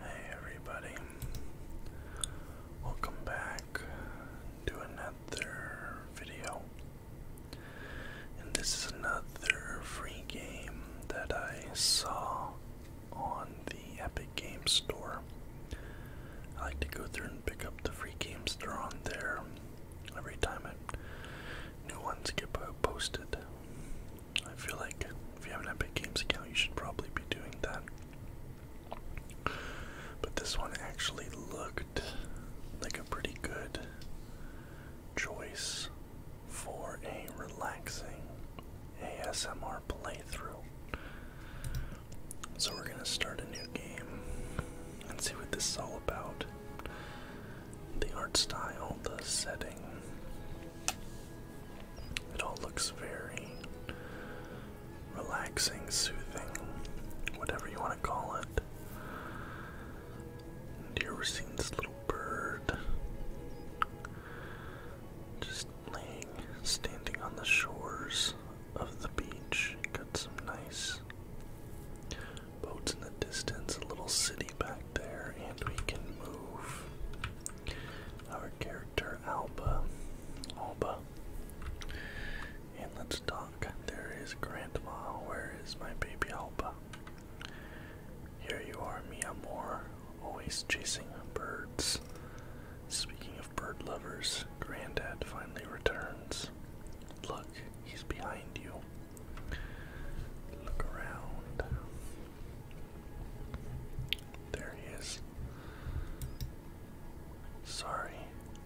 Hey everybody, welcome back to another video. And this is another free game that I saw on the Epic Game Store. I like to go through and pick up the free games thrown there every time new ones get posted. I feel like if you have an Epic Games account, you should probably be doing that. But this one actually looked like a pretty good choice for a relaxing ASMR playthrough. So we're gonna start a new game and see what this is all about. The art style, the setting. It all looks very relaxing, soothing, whatever you want to call it. And here we're seeing this little bird just laying, standing on the shores of the beach. Got some nice boats in the distance, a little city back there, and we can move our character Alba. Alba. And let's talk. There is Grandma. Where is my baby Alba? Here you are, Mia Moore, always chasing birds. Speaking of bird lovers, Granddad finally returns. Look, he's behind you. Look around. There he is. Sorry,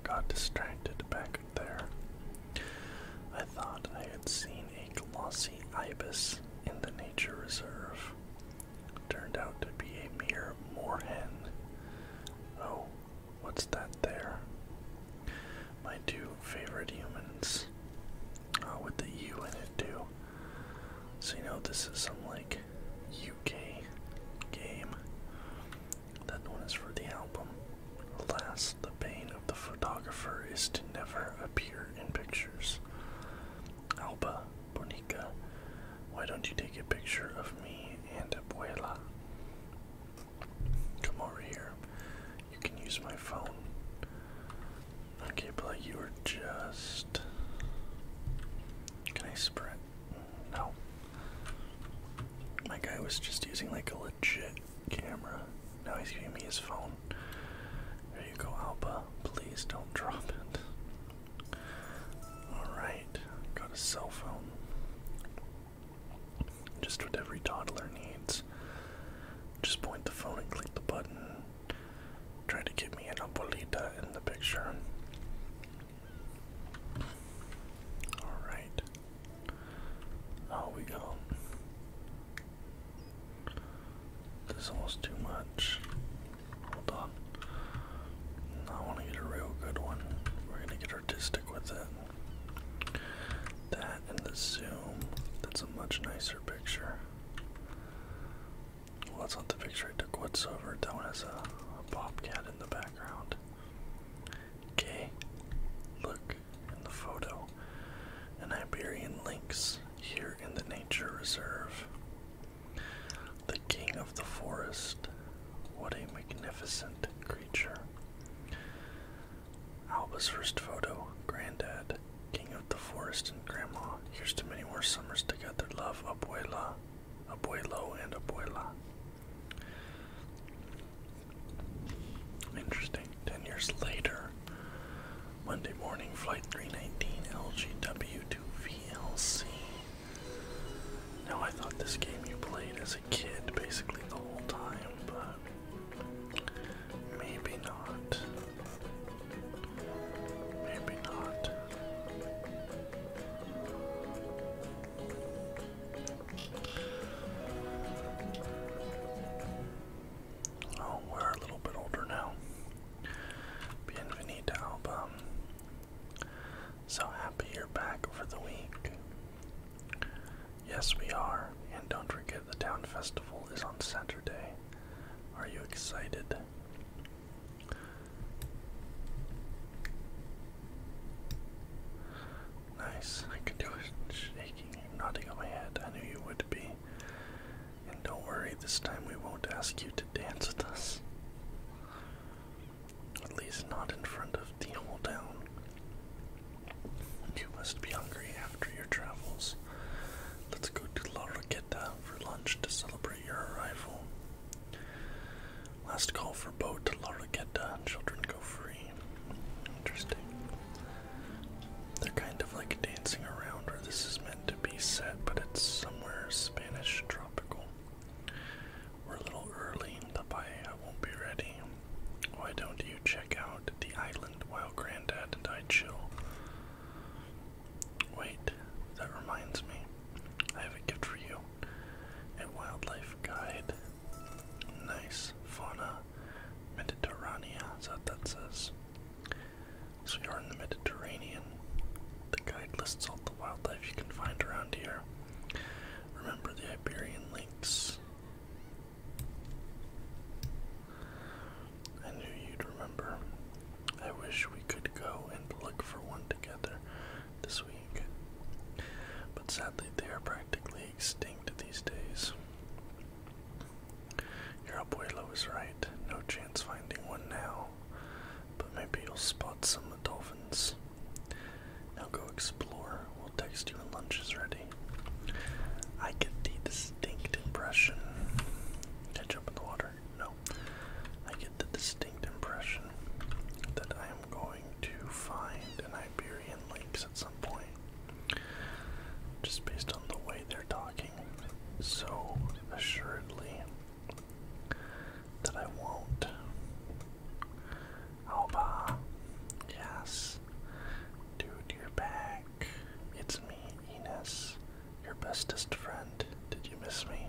got distracted back there. I thought I had seen a glossy ibis in the nature reserve. Turned out to be a mere moorhen. Oh, what's that there? My two favorite humans. Uh, with the U in it too. So you know this is some like UK game. That one is for the album. Alas, the pain of the photographer is to never appear in pictures. Alba, Bonica, why don't you take a picture of me and Abuela? Come over here. You can use my phone. Okay, Alba, you were just. Can I sprint? No. My guy was just using like a legit camera. Now he's giving me his phone. There you go, Alba. Please don't drop it. Alright, got a cell phone. Just what every toddler needs. Just point the phone and click the button. Try to get me an abuelita in the picture. Alright. Oh, we go. This is almost too much. Hold on. I want to get a real good one. We're going to get artistic with it. That and the zoom. That's a much nicer picture. Well, that's not the picture I took whatsoever. That one has a, a bobcat in the background. Okay, look in the photo. An Iberian lynx here in the nature reserve. The king of the forest. What a magnificent creature. Alba's first photo, Granddad. King of the forest and grandma. Here's to many more summers together. Love, abuela, abuelo, and abuela. Interesting. Ten years later, Monday morning, flight 319 LGW2VLC. Now, I thought this game you played as a kid basically the whole time, but maybe not. Maybe not. Oh, we're a little bit older now. Bienvenida album. So happy you're back for the week. Yes, we are. And don't forget the town festival is on Saturday. Are you excited? Nice. I could do a shaking, nodding my head. I knew you would be. And don't worry, this time we won't ask you to dance with us. At least not in front of the whole town. You must be hungry after your travels. Let's go to La Roqueta for lunch launch to celebrate your arrival. Last call for boat to Larraqueta. Children go free. Interesting. They're kind of like dancing around where this is meant to be set, but it's somewhere Spanish tropical. We're a little early. in The bay. I won't be ready. Why don't you check out the island while Granddad and I chill? Wait, that reminds me. I have a gift for you. A wildlife guide. Nice. Fauna Mediterranea. Is that what that says? So you're in the Mediterranean. The guide lists all the wildlife you can find around here. Remember the Iberian Lakes. I knew you'd remember. I wish we could go and look for one together this week. But sadly, they are practically extinct these days. Your abuelo is right. No chance finding one now. But maybe you'll spot some dolphins. Now go explore. We'll text you when lunch is ready. I get the distinct impression. Catch in the water. No. I get the distinct impression that I am going to find an Iberian Lynx at some point. Just based on the way they're talking so assuredly that I won't. Alba, yes. Dude, you're back. It's me. Ines, your bestest friend. Did you miss me?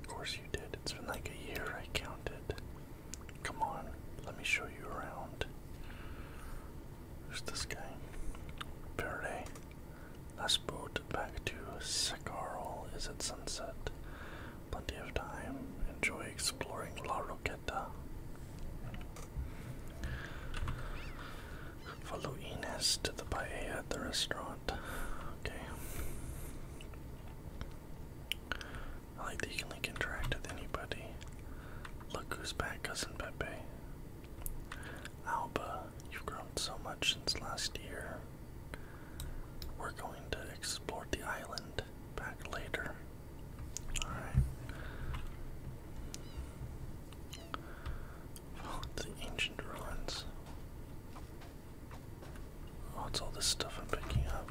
Of course you did. It's been like a year, I counted. Come on, let me show you around. Who's this guy? Verde. Last boat back to Secarl is at sunset. Plenty of time. Enjoy exploring La Roqueta. Follow Ines to the paella at the restaurant. Okay. I like that you can interact with anybody. Look who's back, cousin Pepe. Alba, you've grown so much since last year. We're going to explore the island back later. Alright. Oh, the ancient ruins. What's oh, all this stuff I'm picking up?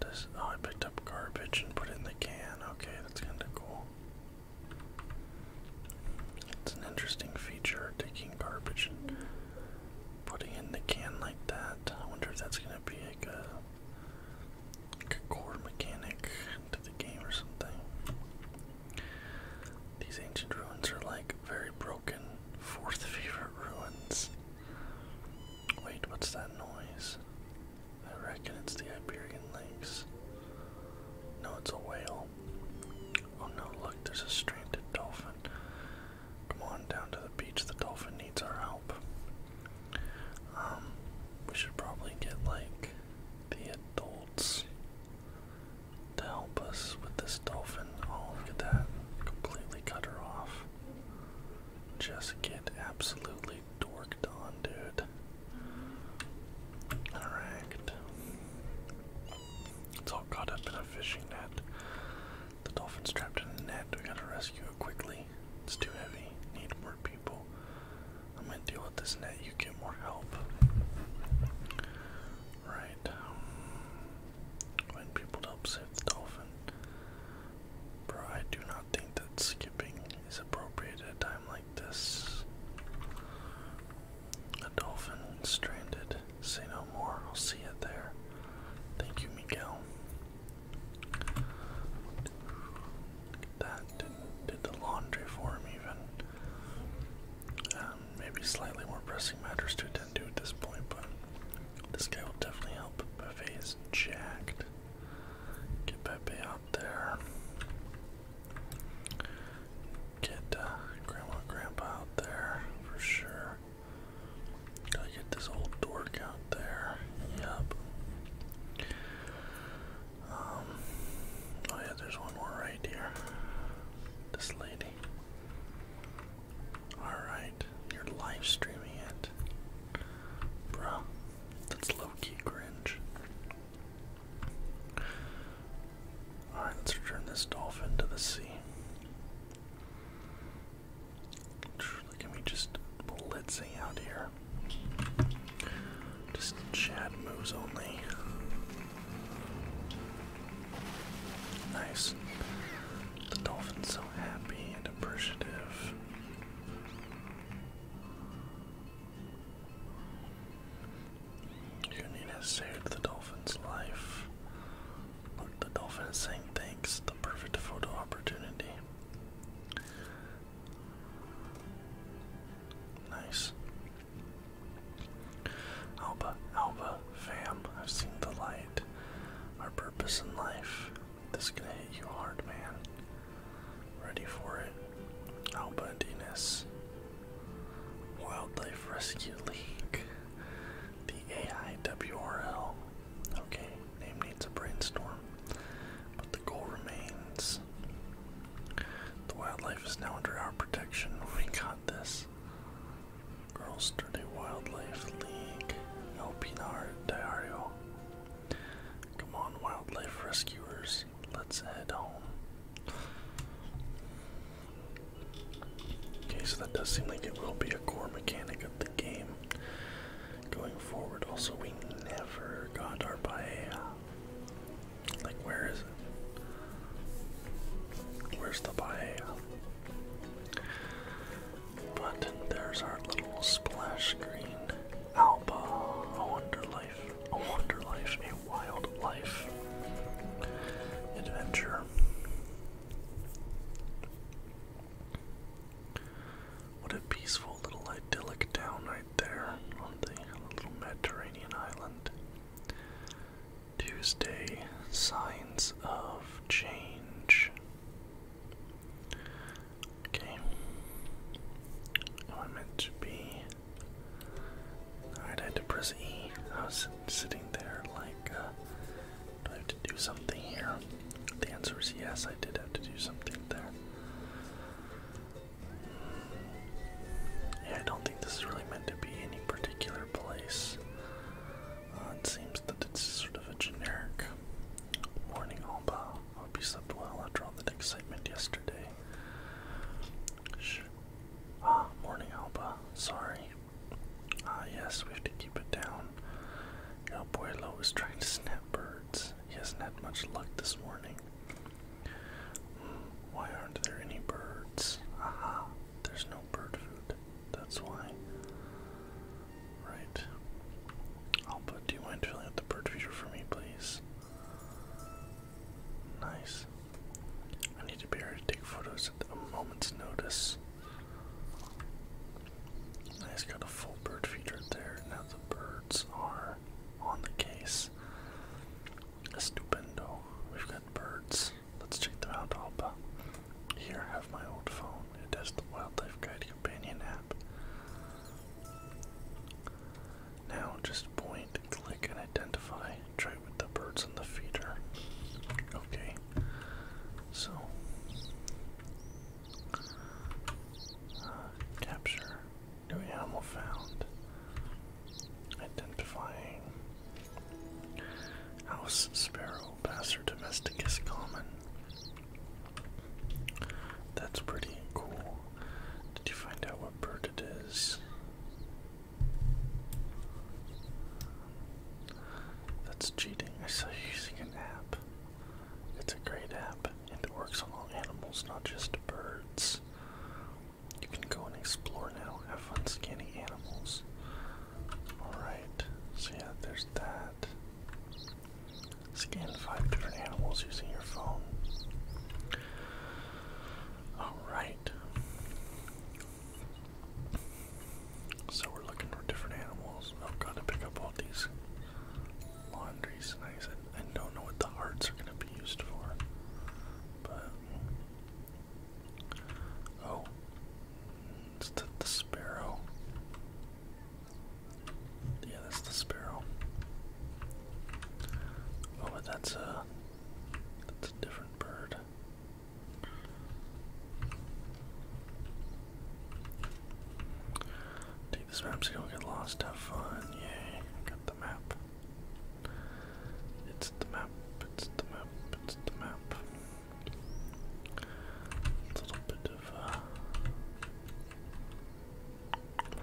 This, oh, I picked up garbage and put it in the can. Okay, that's kind of cool. It's an interesting feature, taking garbage and putting in the can like that. I wonder if that's going to be like a, like a core mechanic to the game or something. These ancient ruins are like very broken fourth favorite ruins. Wait, what's that noise? I reckon it's the Iberian lynx. No, it's a whale. Oh no, look, there's a stranded dolphin. Come on down to the beach, the dolphin needs our help. Um, we should probably get like the adult to help us with this dolphin. Oh, look at that. Completely cut her off. Just get absolutely dorked on, dude. Alright. It's all caught up in a fishing net. The dolphin's trapped in a net. We gotta rescue it quickly. It's too heavy. Need more people. I'm gonna deal with this net, you get more help. Right. When um, people to help save the dolphin. Bro, I do not think that skipping is appropriate at a time like this. A dolphin stranded. Say no more. I'll see it there. Thank you, Miguel that did, the laundry for him even. Um, maybe slightly more pressing matters to attend to at this point, but this guy will definitely help. Buffet is jacked. Get Pepe out there. Get uh, Grandma and Grandpa out there for sure. Gotta get this old dork out there. Yep. Um, oh yeah, there's one more right here. This lady. Alright, you're live streaming it. Bruh, that's low-key cringe. Alright, let's return this dolphin to the sea. Can we just blitzing out here? Just Chad moves only. Nice. The dolphin's so happy and appreciative. Union saved the dolphin's life. Look, the dolphin is saying thanks. The perfect photo opportunity. Nice. Alba, Alba, fam, I've seen the light. Our purpose in life. This is gonna hit you hard, man. Ready for it. Alba and Wildlife Rescue League. The AIWRL. Okay, name needs a brainstorm. But the goal remains the wildlife is now under our protection. We got this. girls. Sturdy Wildlife League, El Pinar Diario. Come on, wildlife rescuers, let's head home. Okay, so that does seem like it will be a core mechanic of the game going forward. Also, we never got our paella. Like, where is it? Where's the Bahia? But there's our little splash green Alba, a wonder life, a wonder life, a wild life. Adventure. What a peaceful little idyllic town there on the little Mediterranean island. Tuesday, signs of change. Okay. Oh, I meant to be. Alright, I had to press E. I was sitting there like, uh, do I have to do something here? The answer is yes, I did have to do something there. I don't think this is really meant to be any particular place. Uh, it seems that it's sort of a generic morning Alba. Hope you slept well after all that excitement yesterday. ah, morning Alba. Sorry. Ah, yes, we have to keep it down. boy Pueblo is trying to snap birds. He hasn't had much luck this morning. Why aren't there any birds? Aha, uh-huh. there's no bird food. That's why. Right. Alba, do you mind filling out the bird feeder for me, please? Nice. I need to be able to take photos at a moment's notice. I got a full bird feeder there. Now the birds are on the case. Stupendo. We've got birds. Let's check them out, Alba. Here, I have my old phone. It has the Wildlife Guide Companion app. Now, just point, click, and identify. Try with the birds on the feeder. Okay. So, uh, capture. New animal found. Identifying. House sparrow, Passer domesticus common. That's pretty cool. Did you find out what bird it is? That's cheating. I saw you using an app. It's a great app, and it works on all animals, not just birds. You can go and explore now. Have fun scanning animals. Alright, so yeah, there's that. Scan five different animals using your phone. Alright. So we're looking for different animals. I've oh, got to pick up all these laundries. and I, I don't know what the hearts are going to be used for. But oh, it's the, sparrow. Yeah, that's the sparrow. Oh, but that's a that's a different bird. Take this map you don't get lost. Have fun. Yay. It's the map, it's the map, it's the map. a little bit of, uh,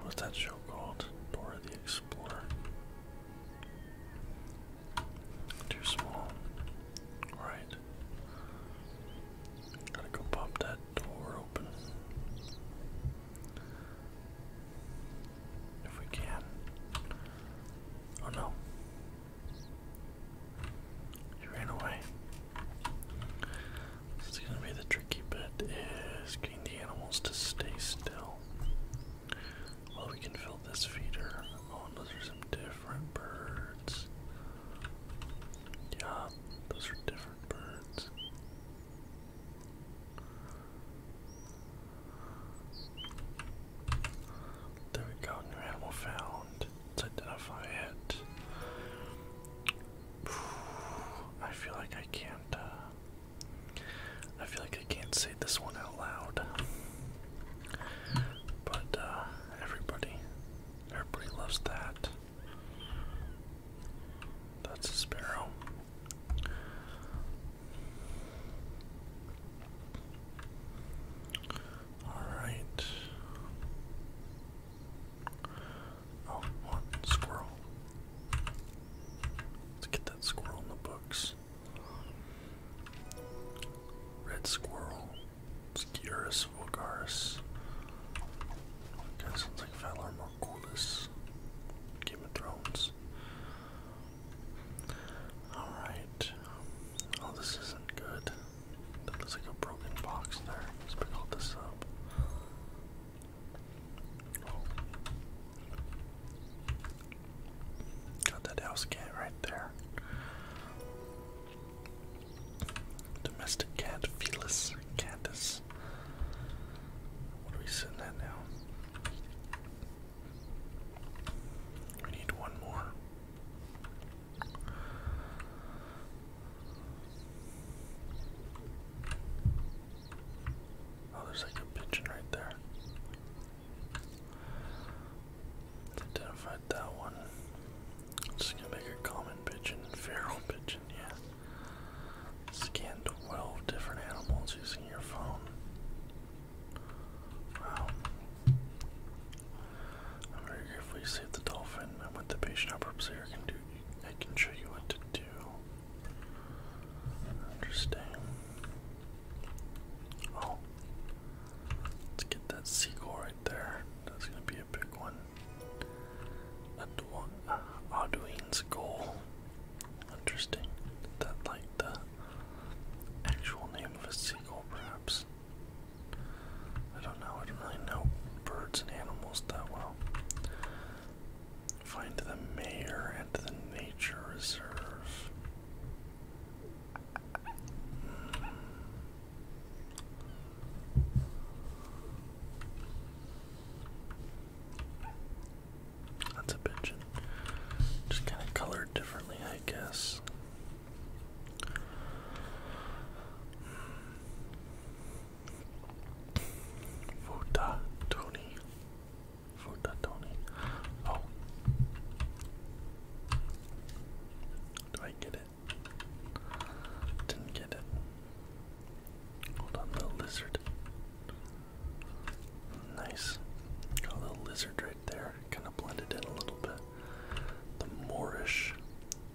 What's that show called? Dora the Explorer. Too small. Alright. Gotta go pop that door open. If we can. Oh no. He ran away. This is gonna be the tricky bit is getting the animals to stay still. Well we can fill this feeder. Oh those are some different birds. Yeah, those are different birds. There we go, new animal found. Let's identify it. I feel like I can't, uh, I feel like I can't say this one out loud. But, uh, everybody, everybody loves that. That's a sparrow. All right. Oh, one squirrel. Let's get that squirrel in the books. Red squirrel. Skyrus vulgaris. Okay, sounds like Valarmor. Margulis. Game of Thrones. Alright. Oh, this isn't good. That looks like a broken box there. Let's pick all this up. Got that house cat right there. Domestic cat, Felis catus. What are we sitting at now? We need one more. Oh, there's like a pigeon right there. Identified that one. Just gonna make a common pigeon, feral pigeon, yeah. Scan 12 different animals using your phone. Wow. I'm very grateful you the dolphin. I'm with the patient up here. can do I can show you what to do. Interesting. Oh. Let's get that seagull right there. That's gonna be a big one. That uh, one, Interesting. That like the actual name of a seagull perhaps. I don't know, I don't really know birds and animals that well. Find the mayor at the nature reserve. That's a pigeon. Just kind of colored differently, I guess. Futa Tony. Oh. Do I get it? Didn't get it. Hold on, the lizard. Nice. Got a little lizard right there. Kind of blended in a little bit. The Moorish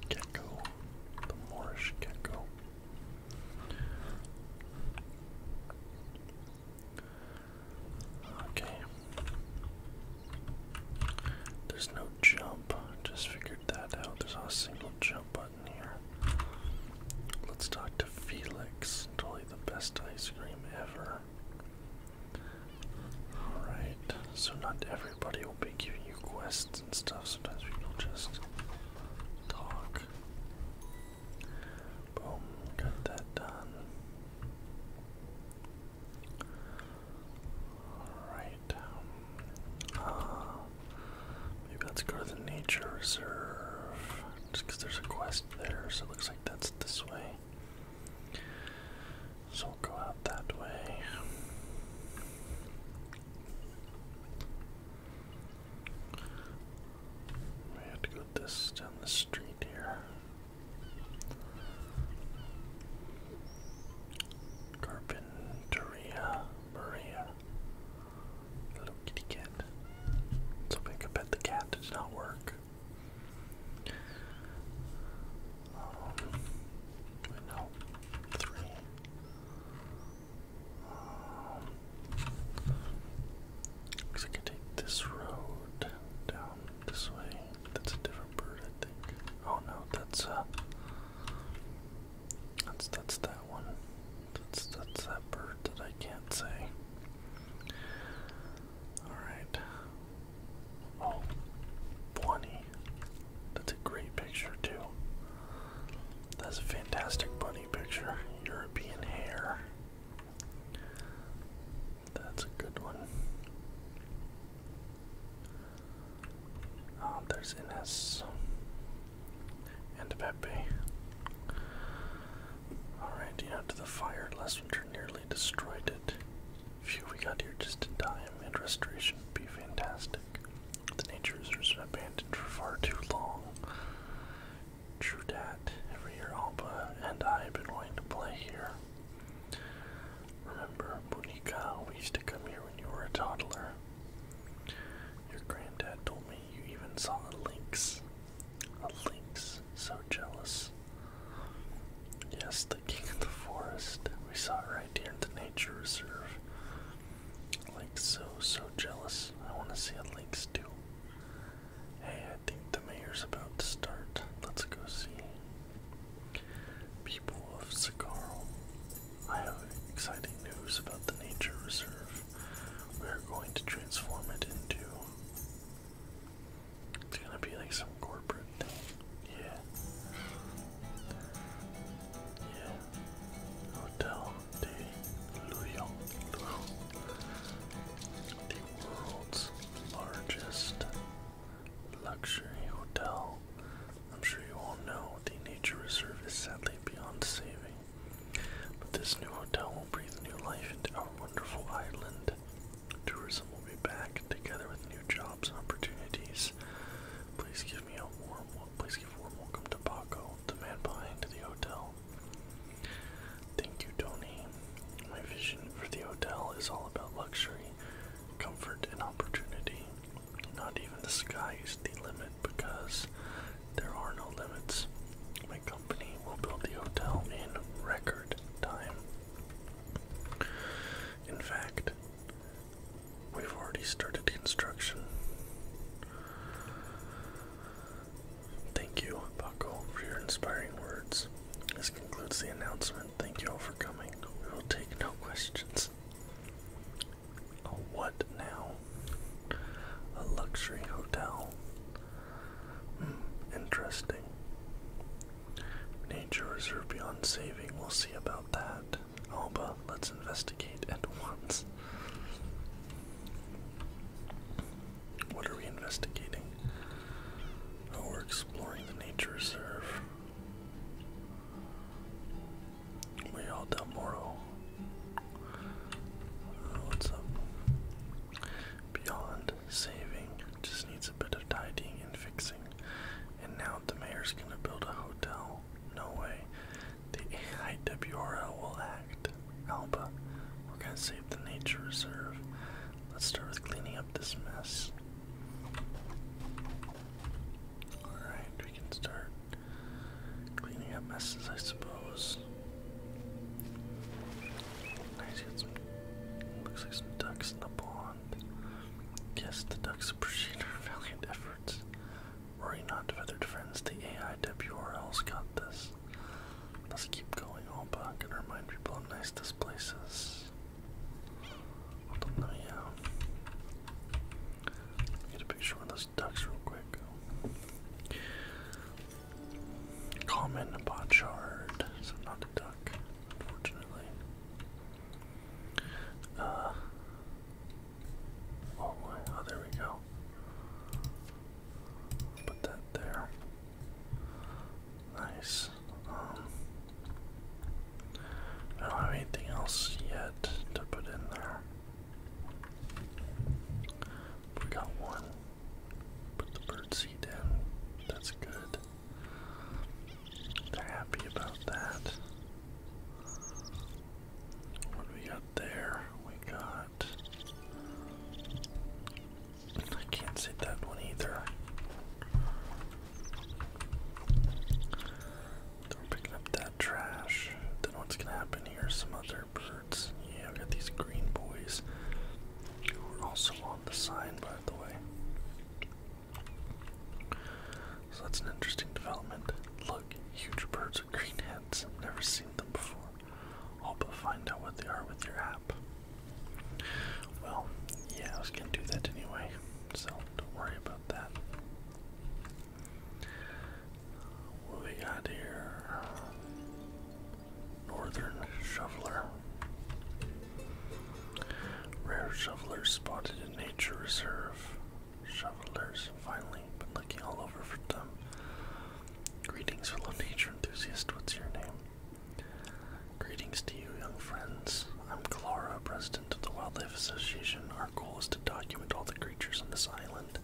gecko. The Moorish gecko. Okay. There's no jump. Just figured that out. There's not a single jump Let's talk to Felix. Totally the best ice cream ever. Alright, so not everybody will be giving you quests and stuff. Sometimes people just talk. Boom, got that done. Alright. Um, uh, Maybe let's go to the nature reserve. Just because there's a quest there, so it looks like that's this way. So we'll go out that way. We have to go this down the street here. Carpinteria Maria. Hello, kitty cat. So I could the cat does not work. Um, no, three. Um, looks like I take this road down this way. That's a different bird, I think. Oh no, that's uh, that's that's that one. That's that's that bird that I can't say. Alright. Oh, 20. That's a great picture too. That's a fantastic bunny picture. European hair. That's a good one. Oh, there's Ines and Pepe. Alright, you know, to the fire, Lessenger nearly destroyed it. Phew, we got here just in time, and restoration would be fantastic. The nature reserve's been abandoned for far too long. True dat, every year Alba and I have been going to play here. Remember, Bunica, we used to come here when you were a toddler. Your granddad told me you even saw a lynx. A lynx. So jealous. Yes, the king of the forest. We saw it right here in the nature reserve. Like so, so jealous. I want to see a lynx too. Hey, I think the mayor's about to start. Let's go see. People of Sakaro, I have exciting news about the nature reserve we're going to transform it into. It's gonna be like some corporate thing. Yeah. Yeah. Hotel de Lyon. The world's largest luxury hotel. I'm sure you all know the nature reserve is sadly beyond saving. But this new hotel will breathe new life into our wonderful island. Tourism will be back together with new jobs and opportunities. Please give me a warm welcome to Paco, the man behind the hotel. Thank you, Tony. My vision for the hotel is all about luxury, comfort, and opportunity. Not even the sky is the limit because there are no limits. My company will build the hotel in record time. In fact, we've already started construction. Thank you, Paco, for your inspiring words. This concludes the announcement. Thank you all for coming. We will take no questions. A oh, what now? A luxury hotel Hmm, interesting. Nature reserve beyond saving, we'll see about that. Alba, let's investigate at once. What are we investigating? Oh, we're exploring the nature reserve. We all Del Moro what's up? Beyond saving, just needs a bit of tidying and fixing. And now the mayor's gonna build a hotel. No way. The IWRL will act. Alba, we're gonna save the nature reserve. Let's start with cleaning up this mess. Alright, we can start cleaning up messes, I suppose. Nice, got Looks like some ducks in the pond. Yes, the ducks appreciate our valiant efforts. you not, feathered friends. The AI WRL's got this. Let's keep going, Opa. Gonna remind people how nice this place is. Let them um, know, yeah. Get a picture of those ducks real quick. Comment Common potshard, so not a duck, unfortunately. Uh, oh, my, oh, there we go. Put that there. Nice. Um, I don't have anything else yet to put in there. We got one. Put the birdseed down. That's good. They're happy about that. What do we got there? We got. I can't see that one either. we're picking up that trash. Then what's gonna happen here? Some other bird concerts. Yeah, we got these green boys who were also on the sign, by the way. So that's an interesting development. Look, huge birds with green heads. I've never seen them before. All but find out what they are with your app. Well, yeah, I was gonna do that anyway, so don't worry about that. What we got here? Northern shoveler. Rare shoveler spotted in nature reserve. Shovellers finally, been looking all over for them. Greetings, fellow nature enthusiast. What's your name? Greetings to you, young friends. I'm Clara, president of the Wildlife Association. Our goal is to document all the creatures on this island.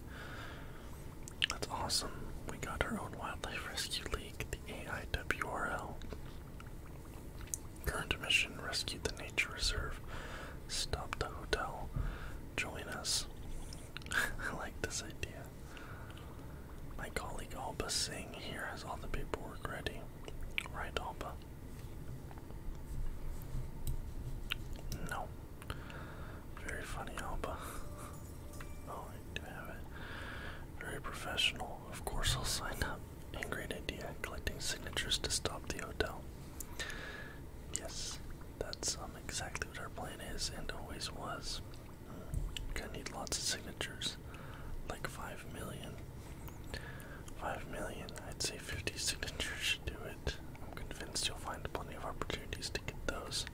That's awesome. We got our own Wildlife Rescue League, the AIWRL. Current mission rescue the nature reserve. Stop the hotel. Join us. I like this idea. My colleague Alba Singh here has all the paperwork ready. Right, Alba? No. Very funny Alba. oh, do have it. Very professional. Of course I'll sign up. And great idea, collecting signatures to stop the hotel. Yes, that's um, exactly what our plan is and always was. Mm, gonna need lots of signatures, like 5 million. 5 million, I'd say 50 signatures should do it. I'm convinced you'll find plenty of opportunities to get those.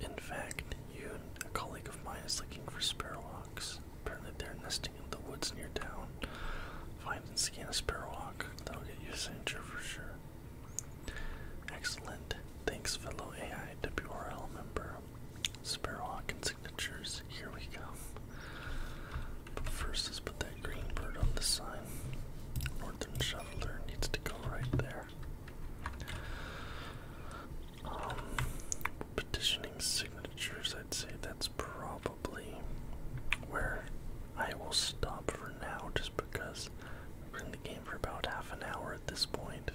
In fact, you and a colleague of mine is looking for sparrowhawks. Apparently, they're nesting in the woods near town. Find and scan a sparrowhawk. That'll get you a signature for sure. Excellent. Thanks, fellow AI WRL member. Sparrowhawk and signatures. Here we go. But first, let's put that green bird on the sign. Northern Shoveler needs to go right there. Um, petitioning signatures, I'd say that's probably where I will stop for now just because we're in the game for about half an hour at this point.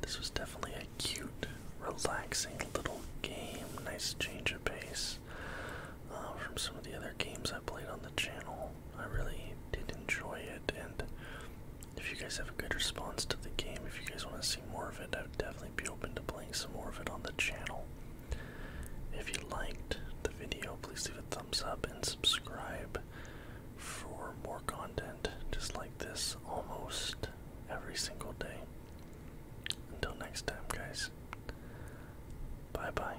This was definitely a cute, relaxing little game. Nice change of pace uh, from some of the other games I played on the channel. I really did enjoy it, and if you guys have a good response to the game, if you guys want to see more of it, I would definitely be open to playing some more of it on the channel. If you liked the video, please leave a thumbs up and subscribe for more content just like this almost every single day. Until next time, guys. Bye bye.